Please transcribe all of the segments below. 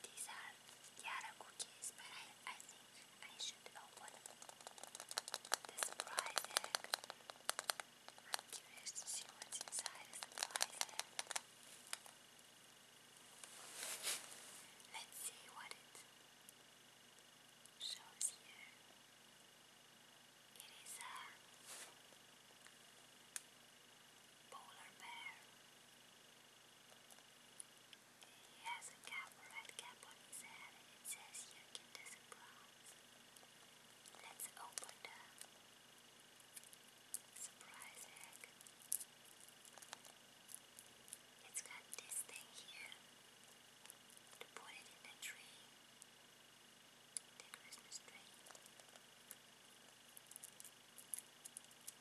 These are Yara cookies, but I, I think I should open the surprise egg. I'm curious to see what's inside the surprise egg. Let's see what it shows here. It is a polar bear he has a cap, red cap on his head, it says here Kinder Surprise. Let's open the surprise egg. It's got this thing here to put it in the tree, the Christmas tree.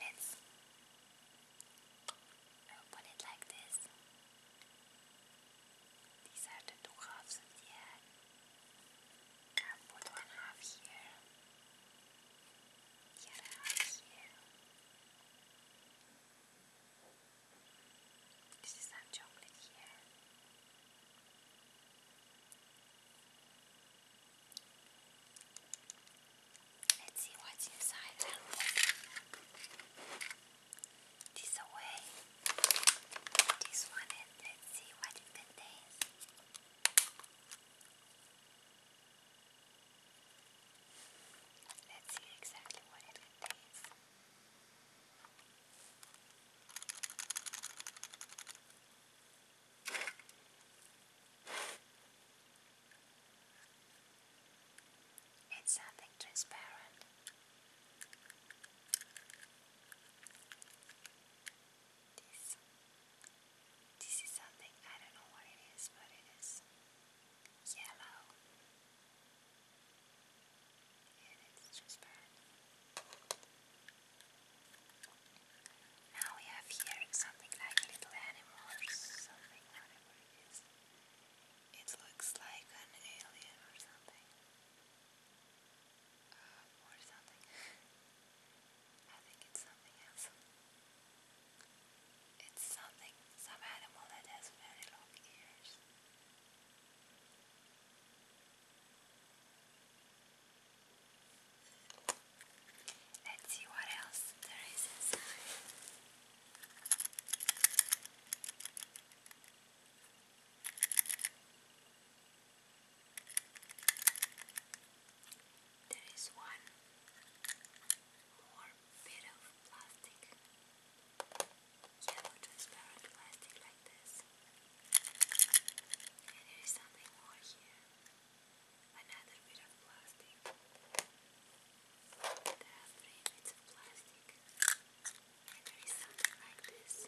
Let's open it like this. These are the two halves of the egg. one half here, the other half here. This is some chocolate here. Let's see what's inside This away, this one, and let's see what it contains. Let's see exactly what it contains. It's something transparent. This, this is something I don't know what it is, but it is yellow. Now we have here something like little animals, something, whatever it is. It looks like an alien or something. Uh, or something. I think it's something else. It's something, some animal that has very long ears. Let's see what else there is inside. There is one more bit of plastic yellow transparent plastic like this. And there is something more here. Another bit of plastic. There are three bits plastic. And there is something like this.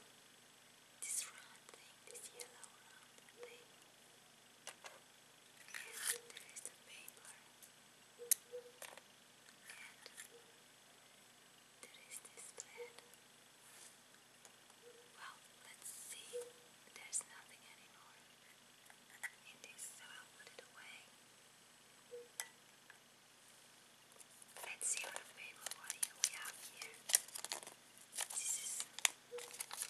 This round thing, this yellow round thing. And there is the paper. There is this Well, let's see. There's nothing anymore in this, so I'll put it away. Let's see what we have here. This is just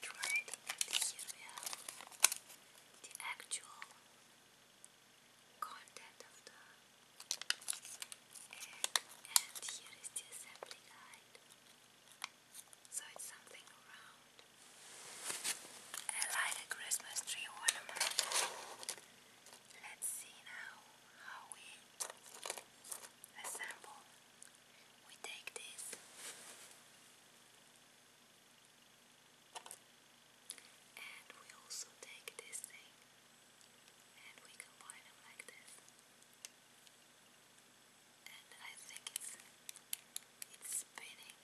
writing, and here we have the actual content of the and here is the assembly guide so it's something round like a Christmas tree ornament let's see now how we assemble we take this and we also take this thing and we combine them like this. And I think it's it's spinning.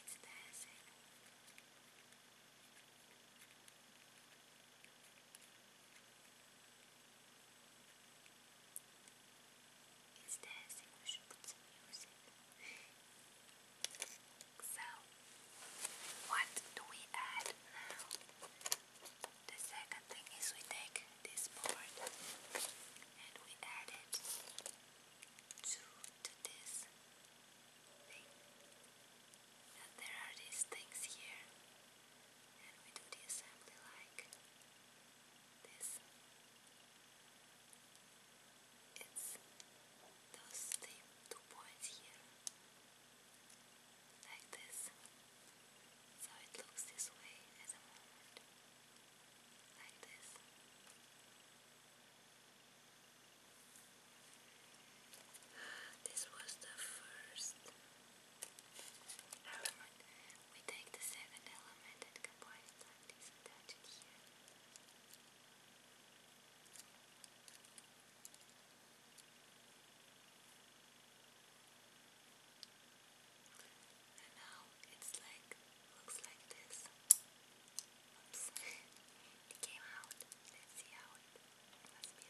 It's dancing. Is dancing, So, what do we add now? The second thing is we take this board and we add it to, this there are these things here and we do the assembly like this. It's those two points here, like this. So it looks this way at like this. This was the first element we take the second element and combine it like this and here. And now it's like, looks like this. Oops, it came out. Let's see how it must be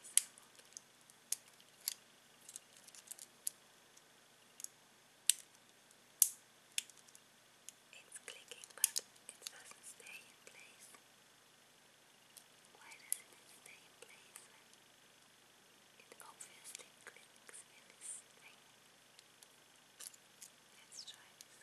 it's clicking, but it doesn't stay in place. Why does it stay in place it obviously clicks in this thing? Let's try this.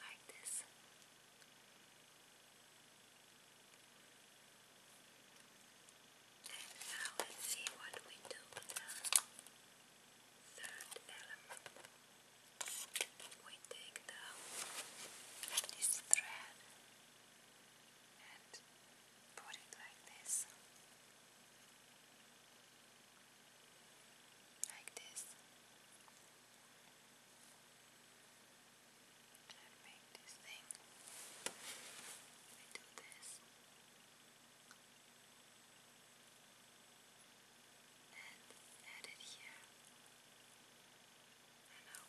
Like this. And now let's see what we do with third element. We take the thread and put it like this like this and make this thing I do this and add it here I know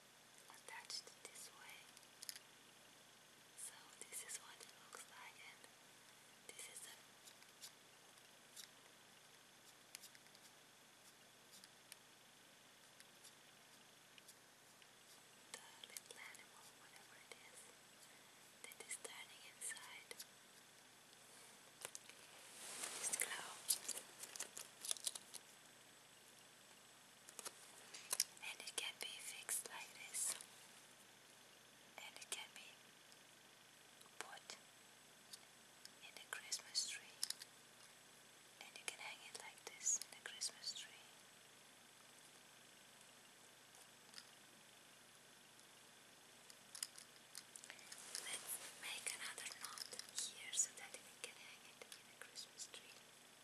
attached this way. So this is what it looks like and this is the little animal, whatever it is, that is turning inside this cloud and it can be fixed like this and it can be put in a Christmas tree and you can hang it like this in a Christmas tree Let's make another knot here so that we can hang it in the Christmas tree.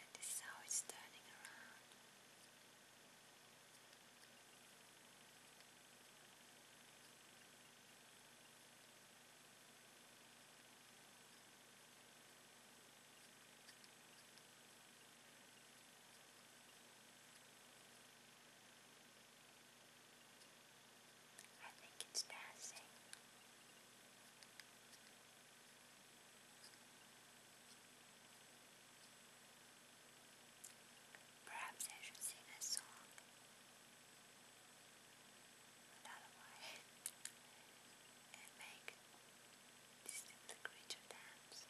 and this is how it's turning around. I think it's dancing. Perhaps I should sing a song. Another one. and make this little creature dance.